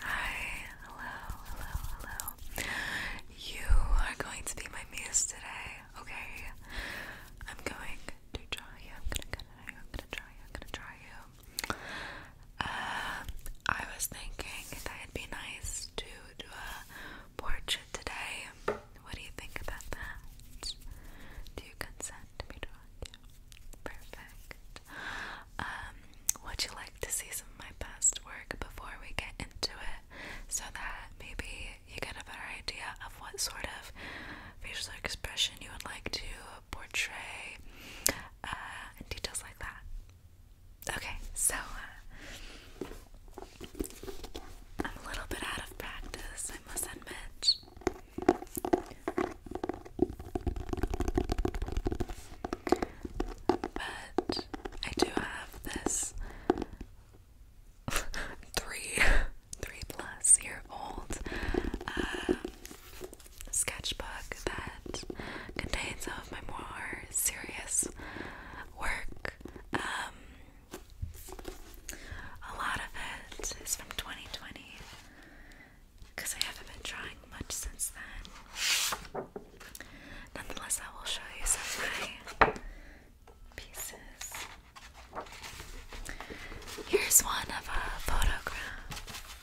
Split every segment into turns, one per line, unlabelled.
Hi, hello, hello, hello. You are going to be my muse today, okay? I'm going to draw you. I'm gonna, gonna, I'm gonna draw you. I'm gonna draw you. Um, I was thinking that it'd be nice to do a portrait today. What do you think about that? Do you consent to me drawing you? Perfect. Um, would you like to see some of my past work before we get into it so that maybe you get a better idea of what sort of facial expression you would like to portray uh, and details like that? Okay, so uh, I'm a little bit out of practice, I must admit. But I do have this three, three plus year old um, sketchbook that contains some of my more serious work. Um, a lot of it is from 2020 because I haven't been drawing much since then. Nonetheless, I will show you some of my pieces. Here's one of a photograph.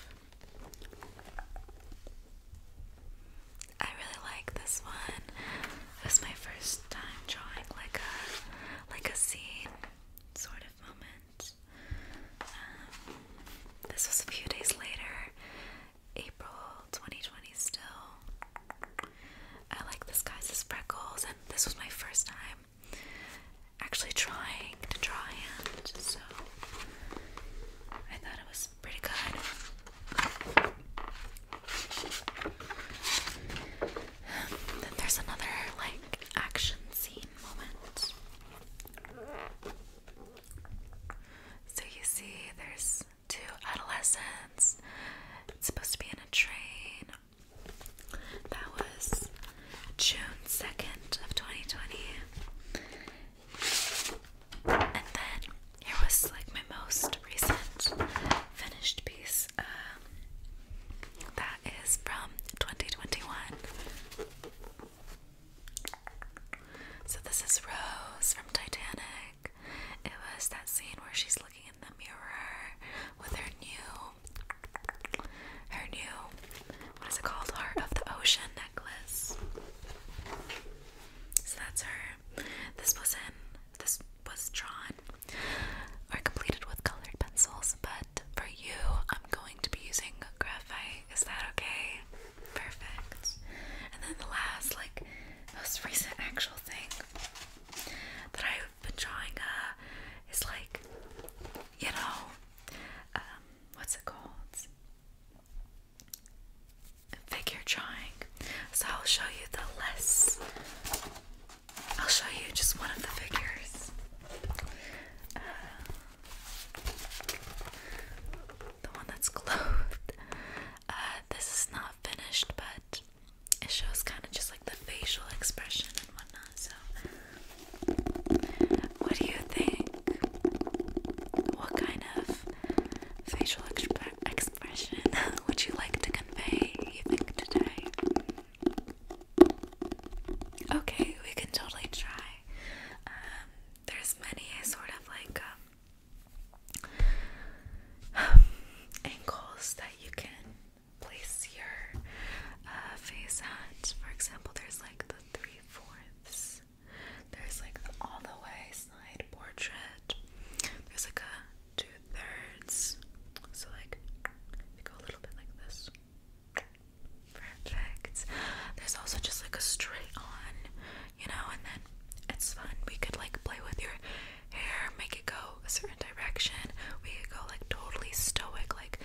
I really like this one. It was my first time drawing like a like a scene sort of moment. Um, this was a few days later, April 2020 still. I like this guy's freckles, and this was my first time actually trying to draw him, so I thought it was pretty good. Then there's another like action scene moment. So you see, there's two adolescents. It's supposed to be in a train. That was June 2nd of 2020. And then here was like my most recent finished piece. Um, that is from 2021. So this is Rose from Titanic. It was that scene where she's looking in the mirror with her new her new what is it called? Heart of the Ocean necklace. So that's her. This was in this was drawn or completed with colored pencils, but for you I'm going to be using graphite. Is that okay? Perfect. And then the last, like, most recent actual thing that I've been drawing uh, is like, you know, um, what's it called? Figure drawing. So I'll show you the list. I'll show you just one of the figures. Uh, the one that's clothed. Uh, this is not finished, but it shows kind of just like the facial expression and whatnot. So, what do you think? What kind of facial expression would you like to convey? You think today? Okay, we can totally try. Um, there's many sort of like uh, angles that you can place your uh, face at. For example, there's like the three fourths. There's like the all the way side portrait. There's like a two thirds. So like you go a little bit like this. Perfect. There's also just like a straight on, you know, and then it's fun. We could like play with your hair, make it go a certain direction. We could go like totally stoic, like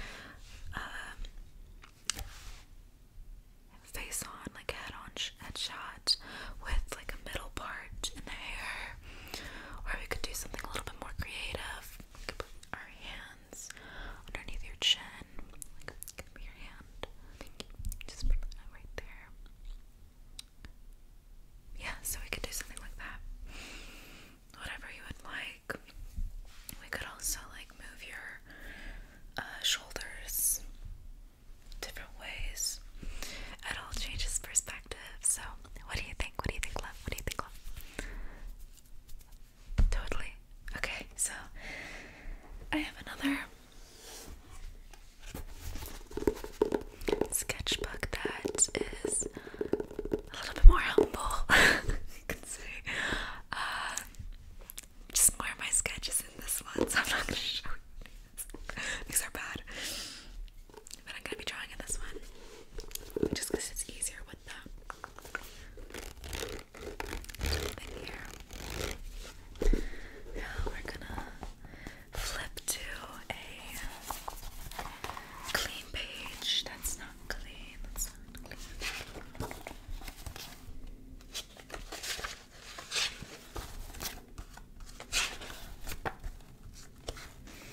um, face on, like head on, head shot with like a middle part in the hair, or we could do something a little bit more creative. our hands underneath your chin, your hand. Thank you. Just put that right there. Yeah, so we could do something like that. Whatever you would like. We could also like move your uh, shoulders different ways. It all changes perspective. So, what do you think? What do you think, love? What do you think, love? Totally. Okay, so I have another sketchbook that is a little bit more humble. you can see. Um, just more of my sketches in this one, so I'm not gonna show These are bad. But I'm gonna be drawing in this one. Just because it's easier with them. Now we're gonna flip to a clean page. That's not clean. That's not clean.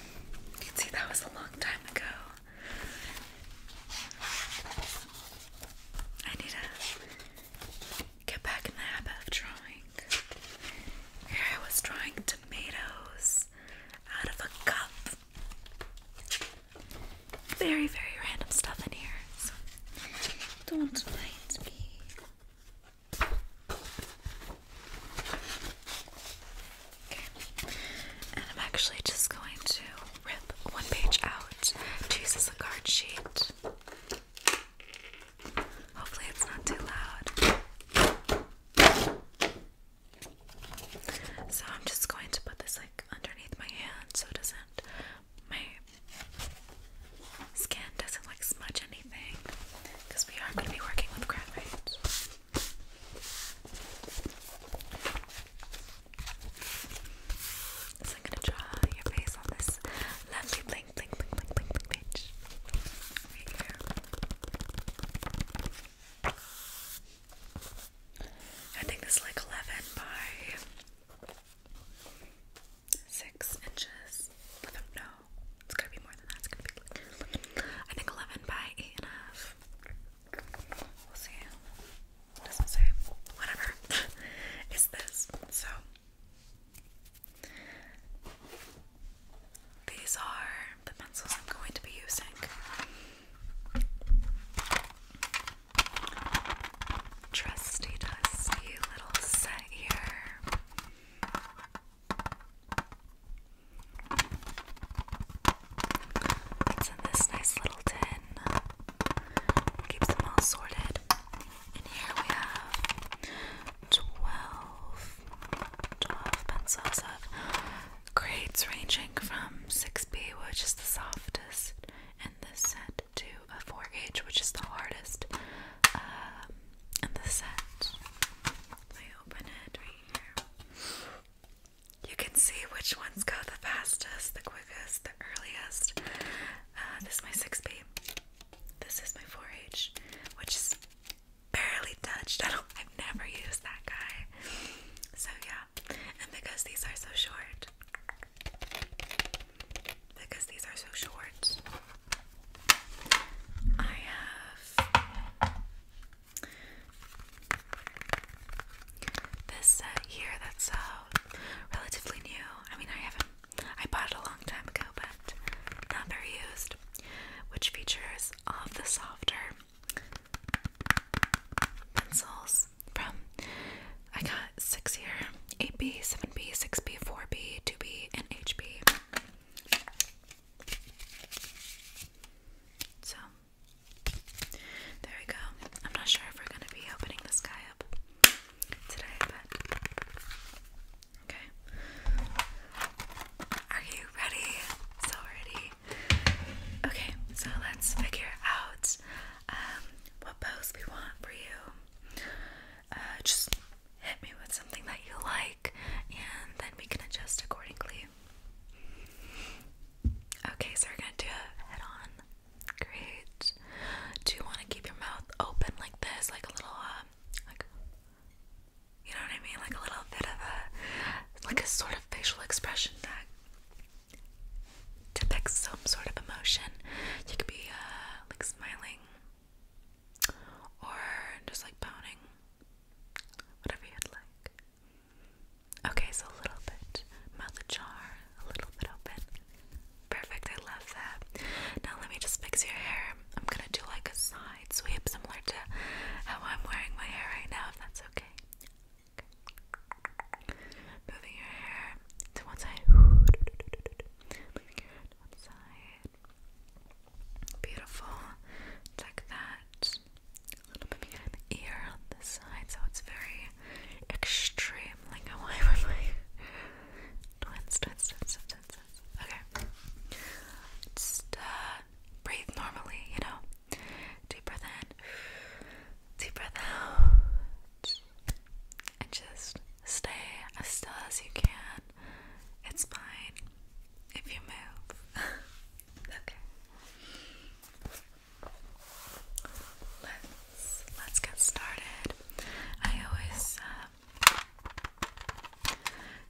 You can see that was a long time ago. I need a get back in the habit of drawing. Here I was drawing tomatoes out of a cup. Very, very random stuff in here, don't mind me. Okay, and I'm actually just going to rip one page out to use a card sheet. Hopefully, it's not too loud. So, I'm just going to put this like underneath my hand so it doesn't, my skin doesn't like smudge anything because we are going to be working with graphite. I'm gonna draw your face on this lovely blink, blink, blink, blink, blink, page right here. I think it's like 11 by 6 inches. I don't know. to be more than that. It's gonna be like, I think 11 by 8 We'll see. It doesn't say. Whatever. it's this. So these are the pencils I'm going to be using. Trusty dusty little set here. It's in this nice little tin. Keeps them all sorted. And here we have 12, pencils of grades ranging from 6B, which is the softest in this set, to a 4 gauge, which is the hardest in um, the set. Let me open it right here. You can see which ones go the fastest, the quickest, the earliest, uh, this is my 6B. This is my 4H, which is barely touched. I don't, I've never used that guy. So yeah, and because these are so short, because these are so short, I have this set here that's uh, relatively new. I mean, I haven't, I bought it a long time ago, but not very used. Which features all of the softer pencils from I got six here 8B, 7B, 6B, 4B, 2B, and HB. So, there we go. I'm not sure if we're going to be opening this guy up today, but okay. Are you ready? So ready. Okay, so let's figure out um, what pose we want for you. Uh, just hit me with something that you like, and then we can adjust accordingly. Okay, so we're gonna do a head on Great. Do you want to keep your mouth open like this, like a little, um, like, you know what I mean, like a little bit of a, like a sort of facial expression that depicts some sort of emotion. You could be, uh, like smiling, or just like pouting, whatever you'd like. Okay, so a little bit mouth ajar, a little bit open. Perfect, I love that. Now let me just fix your hair. I'm gonna do like a side sweep similar to how I'm wearing my hair right now, if that's okay. Moving your hair to one side. Beautiful. Tuck that. A little bit behind the ear on this side, so it's very Extremely lingo. Why were my twins, twins, twins, twins, Okay. Just uh, breathe normally, you know. Deep breath in, deep breath out, and just stay as still as you can. It's fine if you move. okay let's let's get started. I always um,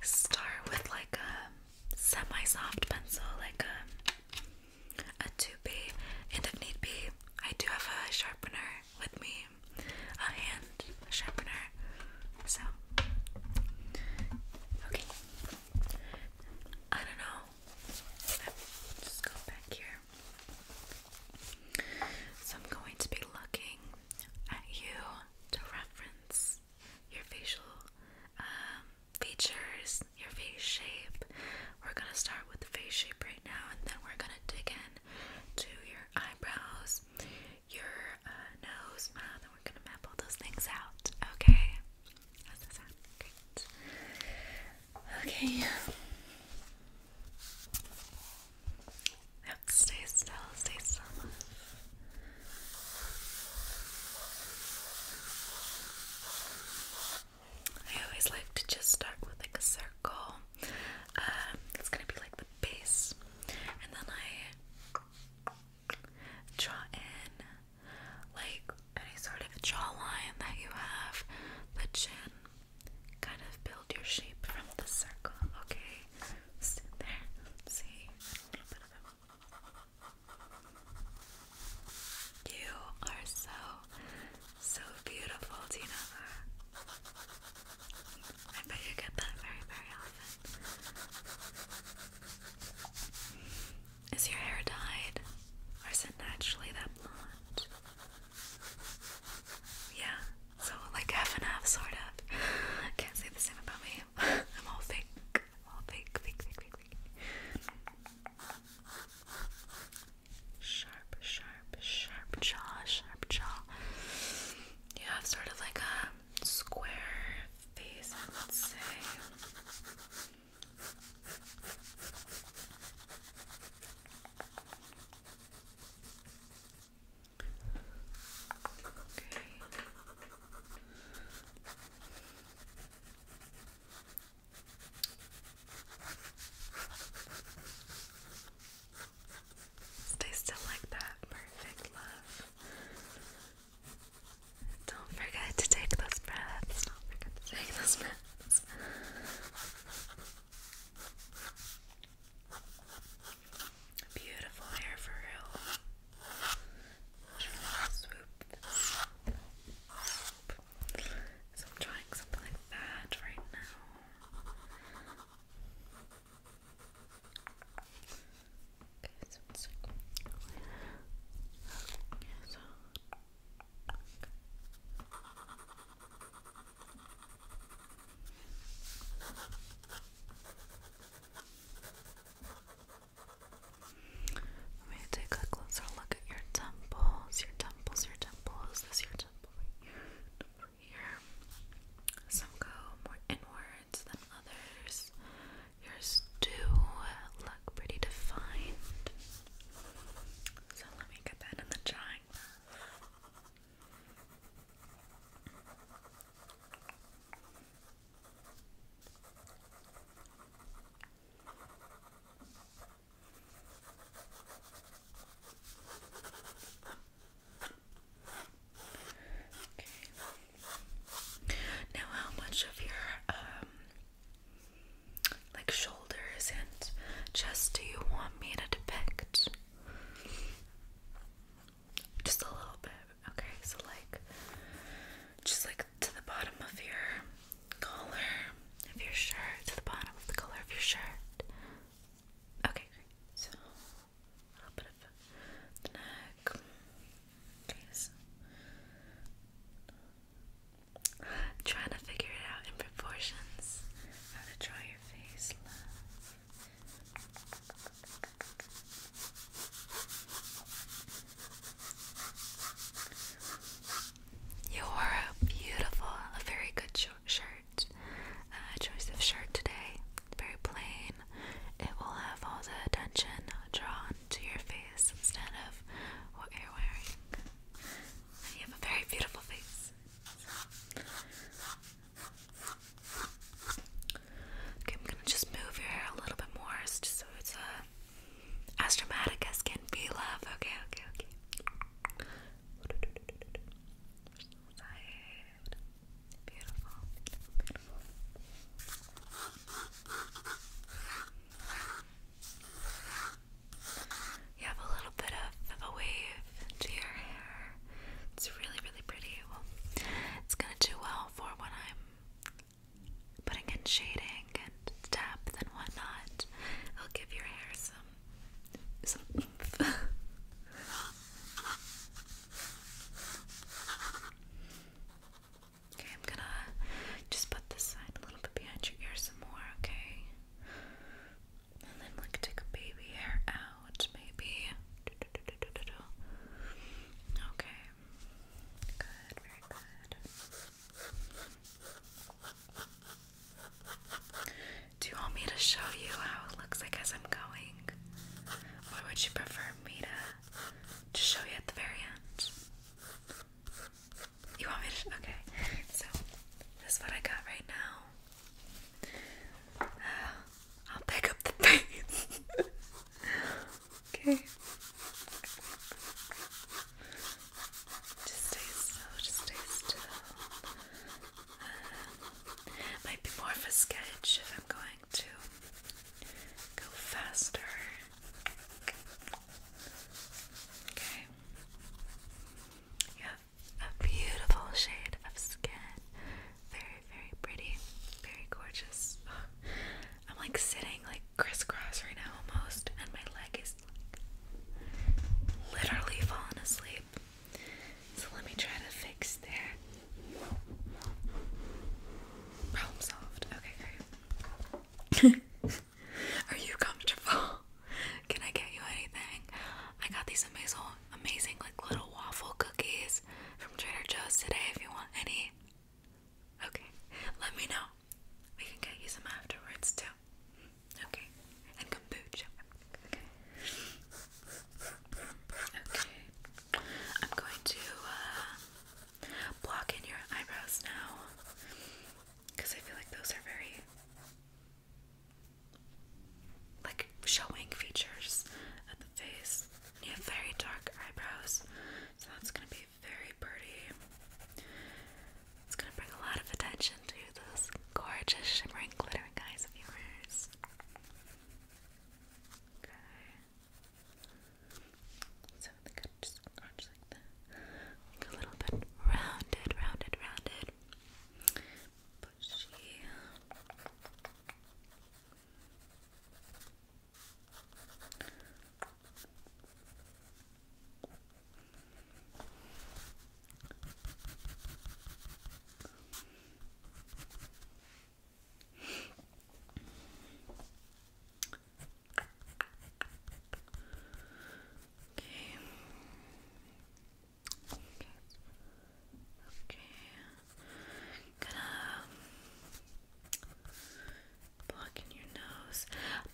start with like a semi-soft pencil, like um, a a 2B, and if need be, I do have a sharpener with me, a hand sharpener. So okay, I don't know. just go back here. So I'm going to be looking at you to reference your facial um, features, your face shape. We're gonna start with the face shape right now, and then we're gonna dig in to your eyebrows, your uh, nose, mouth, and we're gonna map all those things out. Okay. Okay. stay still, stay still. I always like to just start with like a circle. Um, it's gonna be like the base, and then I draw in like any sort of jawline that you have, the chin, kind of build your shape from the circle, okay? Stand there, see You are so, so beautiful, Tina. I bet you get that very, very often. Is your hair dyed? Or is it naturally that blonde? Yeah, so like half and half, sort of. Can't say the same about me. I'm all fake. I'm all fake, fake, fake, fake, fake. Sharp, sharp, sharp jaw, sharp jaw. You have sort of like a square face, I would say. Okay. Stay still like that. Perfect love. Don't forget to take those breaths. Don't forget to take those breaths. Beautiful hair for real. So I'm trying something like that right now. Okay, so let me take a closer look at your temples, your temples, your temples. This your temple over here. Some go more inwards than others. Yours do look pretty defined. So let me get that in the jar like that. Now, how much of your um like shoulders and chest do you want me to depict? Just a little bit. Okay, so like just like to the bottom of your collar of your shirt, to the bottom of the collar of your shirt. Okay, great. So a little bit of the neck. Okay, trying to figure it out in proportions. I'm going to draw your face, You wore beautiful, a very good shirt, uh, choice of shirt today. Very plain. It will have all the attention drawn to your face instead of what you're wearing. You have a very beautiful face. Okay, I'm gonna just move your hair a little bit more just so it's uh, as dramatic as can be, love. Okay, okay, okay. beautiful, beautiful. You have a little bit of, of a wave to your hair. It's really, really pretty. it's gonna do well for when I'm putting in shading and depth and whatnot. It'll give your hair some some oomph. okay, I'm gonna just put this side a little bit behind your ear some more, okay? And then like take baby hair out, maybe. Okay. Good, very good. Do you want me to show you how it looks like as I'm going? Or would you prefer me to, to show you at the very end? You want me to? Okay. So, this is what I got right now. I'll pick up the pace. okay. Just stay still, just stay still. Um, might be more of a sketch if I'm going to go faster. Okay. Yeah, a beautiful shade of skin. Very, very pretty. Very gorgeous. I'm like sitting like crisscross right now almost, and my leg is like, literally falling asleep. So let me try to fix that. Problem solved. Okay, great. Are you comfortable? Can I get you anything? I got these amazing, amazing like little waffle cookies from Trader Joe's today. If you want any, okay, let me know. We can get you some afterwards too. Okay, and kombucha. Okay. Okay, I'm going to uh, block in your eyebrows now because I feel like those are very like showing features of the face. You have very dark eyebrows, so that's gonna be very pretty. It's gonna bring a lot of attention to those gorgeous, shimmering, glittering eyes of yours. Okay. So I think I'm just like that. Like a little bit rounded, rounded, rounded but she Okay. Okay. Gonna um, block in your nose.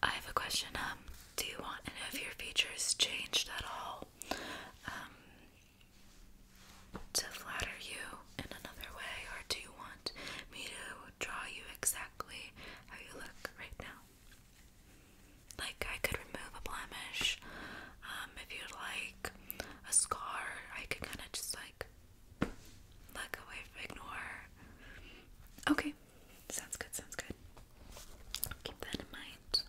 I have a question. Um, do you want any of your features changed at all? Um, to flatter you in another way, or do you want me to draw you exactly how you look right now? Like, I could remove a blemish. Um, if you'd like a scar, I could kind of just like look away, ignore. Okay, sounds good, sounds good. Keep that in mind.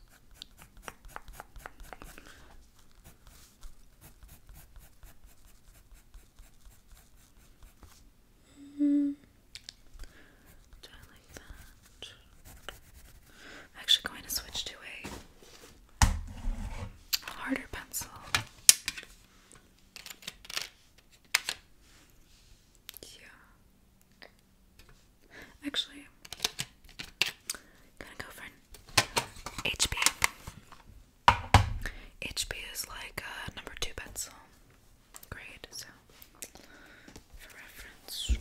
-hmm. I'm actually going to switch to a harder pencil. Yeah. Actually, i gonna go for an HB. HB is like a number two pencil grade, for reference.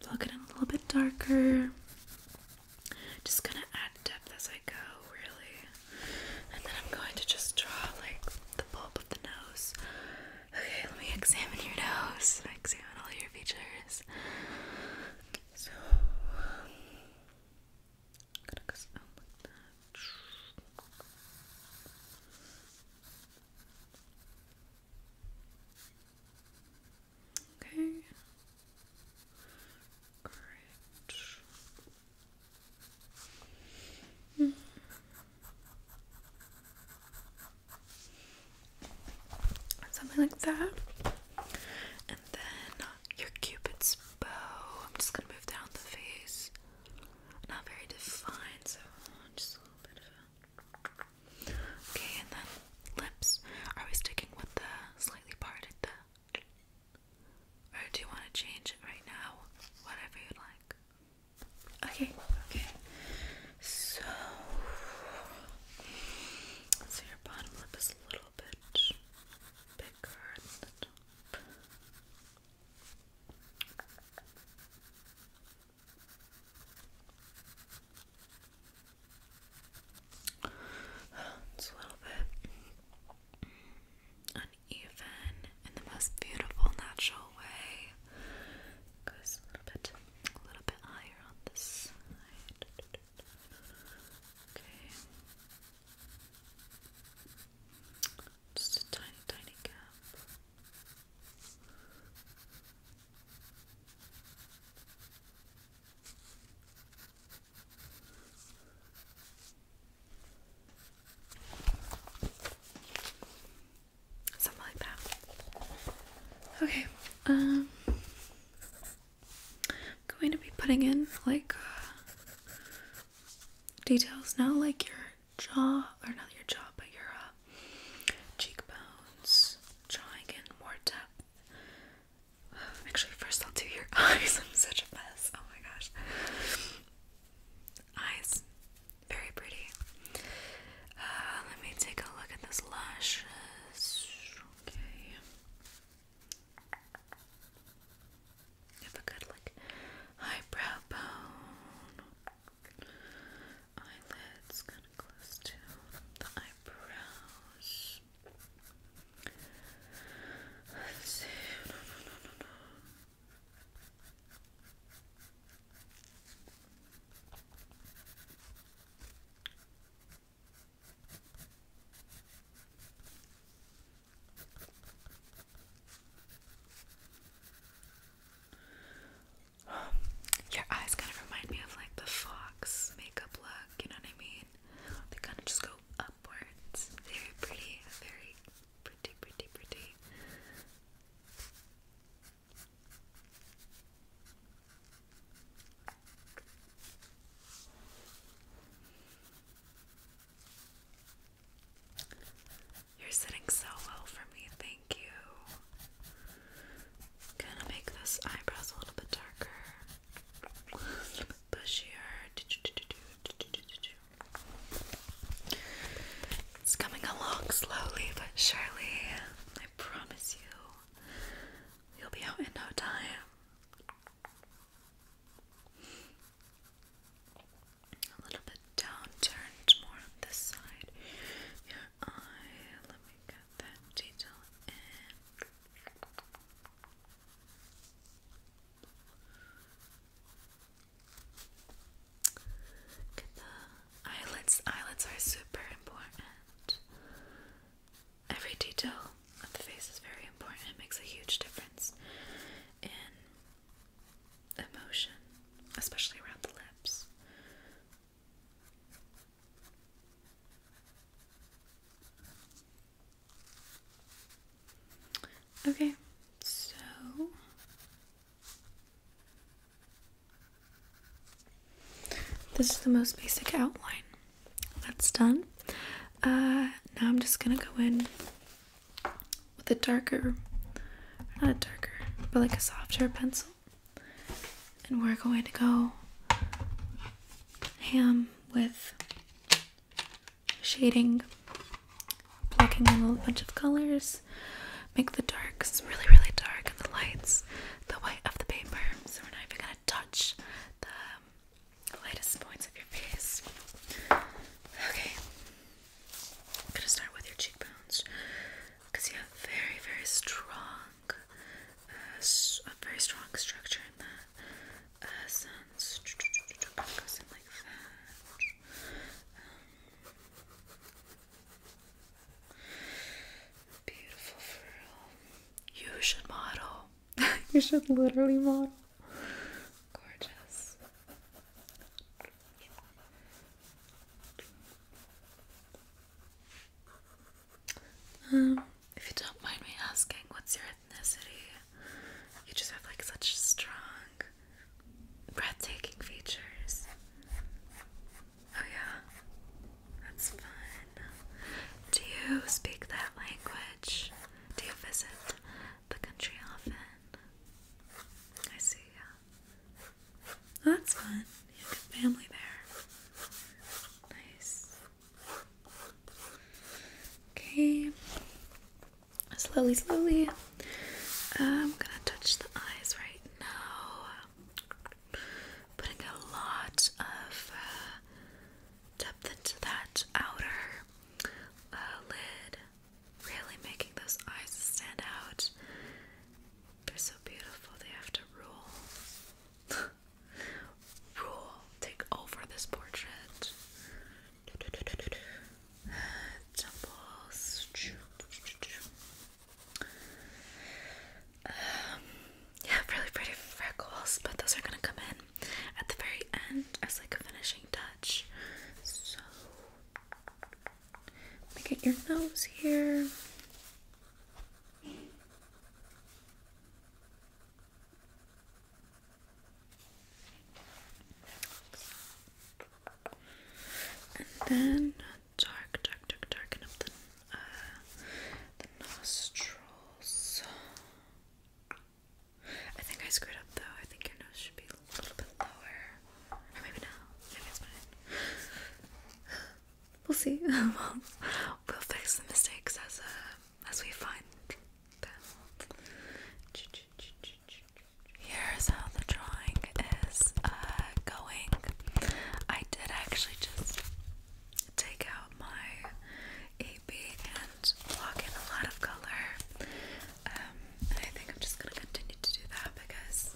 Plug it a little bit darker. Just gonna add depth as I go, really. And then I'm going to just draw like the bulb of the nose. Okay, let me examine your nose. Examine all your features. I'm going out like that. Okay. Great. Hmm. Something like that. And then your cupid's bow. I'm just gonna move down the face. Not very defined, so just a little bit of a. Okay, and then lips. Are we sticking with the slightly parted? The or do you want to change it right now? Whatever you like. Okay, okay. So, so your bottom lip is a little bit bigger it's a little bit uneven in the most beautiful natural way. Goes a little bit, a little bit higher on this side. Okay. Just a tiny, tiny gap. Something like that. Okay, um, I'm going to be putting in like uh, details now, like your jaw, or not your jaw, but your uh, cheekbones, drawing more depth. Actually, first I'll do your eyes. I'm such a mess. Oh my gosh. Eyes. Very pretty. Uh, let me take a look at those lashes. Okay. Have a good like eyebrow bone. Eyelids kind of close to the eyebrows. Your eyes kind of remind me of like the fox makeup look, you know what I mean? They kind of just go upwards. Very pretty, very pretty, pretty, pretty. You're sitting so well for me, thank you. Gonna make those eyebrows a little bit darker, bushier. It's coming along slowly but surely. I promise you, you'll be out in no time a little bit down, more on this side. Your let me get that detail in. Get the eyelids. Eyelids are super important. Every detail of the face is very important. It makes a huge difference in emotion, especially around the lips. Okay, so this is the most basic outline. That's done. Uh, now I'm just gonna go in with a darker, not a darker, but like a softer pencil. And we're going to go ham with shading, plucking in a little bunch of colors, make the darks really, really dark and the lights the white of the paper. So we're not even gonna touch the um, lightest points of your face. Okay, I'm gonna start with your cheekbones you have very, very strong, uh, a very strong structure in that. Uh, um, beautiful furl. You should model. you should literally model. Gorgeous. Um, if you don't mind me asking, what's your ethnicity? You just have like such strong, breathtaking features. Oh, yeah, that's fun. Do you speak that language? Do you visit the country often. I see, yeah. that's fun. You have good family there. Nice. Okay. Slowly, slowly. I'm gonna touch the eyes right now. Putting a lot of uh, depth into that outer uh, lid really making those eyes stand out. They're so beautiful, they have to rule. rule, take over this portrait. Temples. Um, yeah, really pretty freckles, but those are gonna come in at the very end as like a finishing touch. So let me get your nose here. And then dark, dark, dark, darken up the uh, nostrils. I think I screwed up though. I think your nose should be a little bit lower. Or maybe not. Maybe it's mine. We'll see. we'll, we'll fix the mistakes as uh, as we find them. Here's how the drawing is uh, going. I did actually just take out my and block in a lot of color. Um, I think I'm just gonna continue to do that because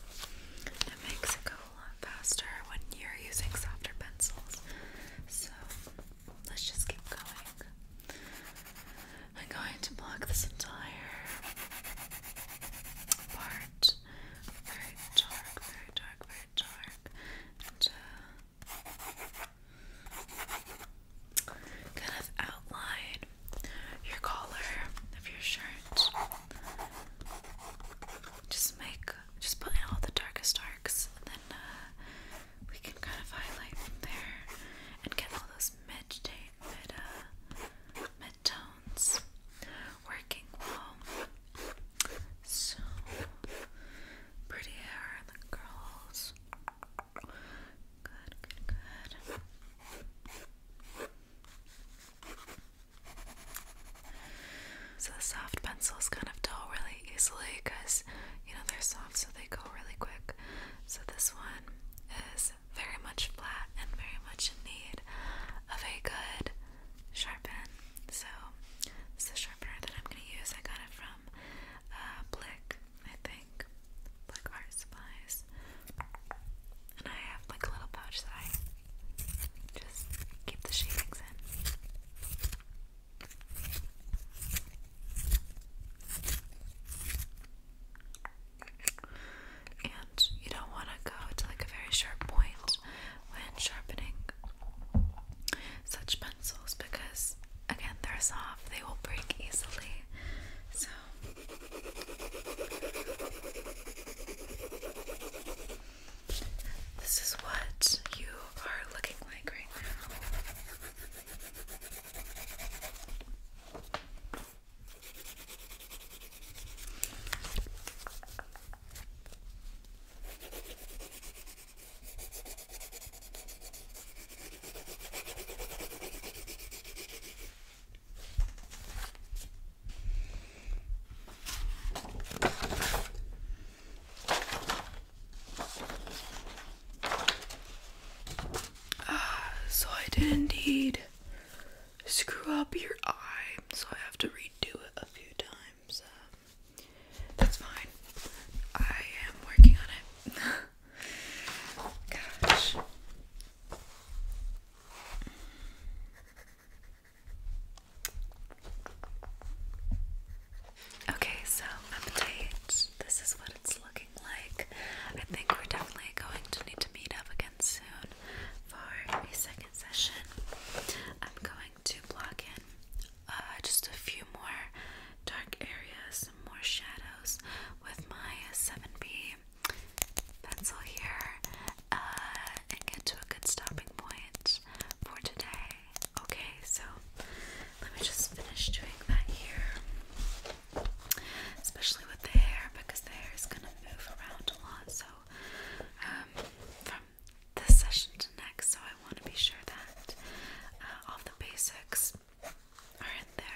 it makes it go a lot faster when you're using softer pencils. So let's just keep going. I'm going to block this entire part. Very dark, very dark, very dark. Uh, kind of outline your collar of your shirt. Just make, just put all the darkest darks, and then uh, we can kind of highlight from there and get all those mid mid uh, mid tones working well. So pretty hair on the so the soft pencil is kind of dull really easily because you know they're soft so they go really quick. So this one is very much flat and very much in need of a good sharpen. So this is the sharpener that I'm gonna use. I got it from uh, Blick, I think like art supplies. And I have like a little pouch that I just keep the shavings in. And you don't want to go to like a very sharp point when sharpening such pencils because again they're soft, they will break easily. So this is what you are looking like right now. Ah, so I did indeed screw up your eye, so I have to redo it a few times. Um, that's fine. I am working on it. Gosh. Okay, so update. This is what it's looking like. I think we're definitely going to need to meet up again soon for a second session. I'm going to block in uh, just a few more dark areas, some more shadows with my 7B pencil here uh, and get to a good stopping point for today. Okay, so let me just finish doing that here, especially with the hair because the hair is going to move around a lot. So, um, from this session to next, so I want to be sure that uh, all the basics are in there.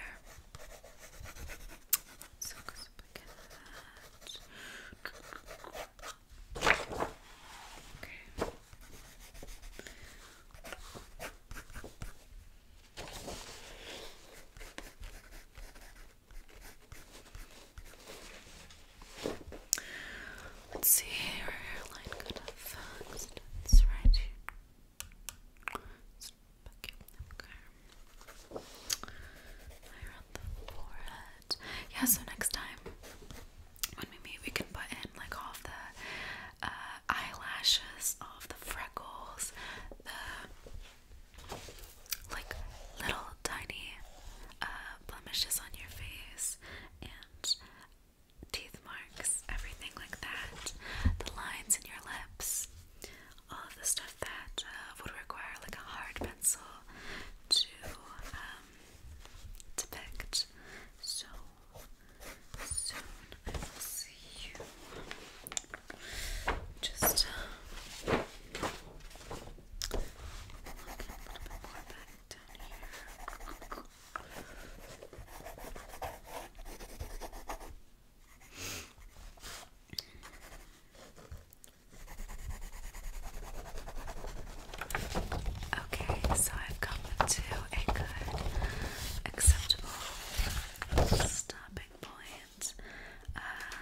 Let's see where your could have functioned. It's right here. Okay. the forehead. Yeah, so next time when we meet, we can put in like all the uh, eyelashes, all the freckles, the like little tiny uh, blemishes on your face, and teeth marks, everything like that, the lines in your lips, all of the stuff that uh, would require like a hard pencil to um, depict. So soon I will see you. Just uh, a little bit more back down here. Okay, so I've come to a good, acceptable stopping point. Uh,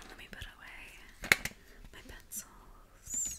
let me put away my pencils.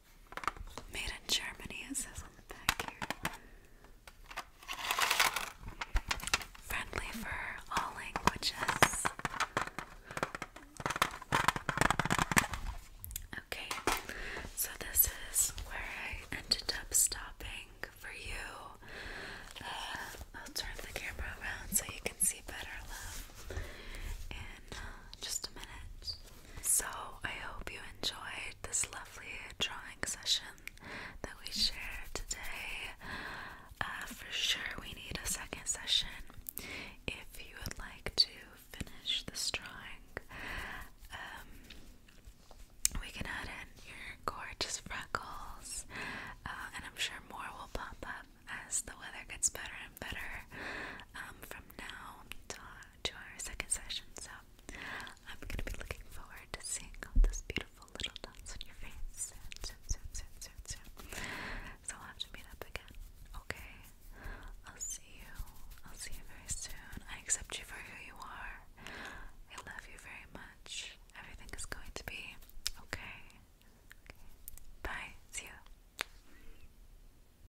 Made in Germany, it says on the back here. Friendly for all languages. Okay, so this is where I ended up stopping for you. Uh, i turn the camera around so you can see better, In uh, just a minute. So, I hope you enjoyed this lovely drawing session that we shared today. Uh, for sure, we need a second session. If you would like to finish the drawing, um, we can add in your gorgeous freckles, uh, and I'm sure more will pop up as the weather gets better and better um, from now to our second session. So I'm gonna be looking forward to seeing all those beautiful little dots on your face soon, soon, soon, soon, soon, soon. So we'll have to meet up again. Okay. I'll see you. I'll see you very soon. I accept you for who you are. I love you very much. Everything is going to be okay. Okay. Bye. See you.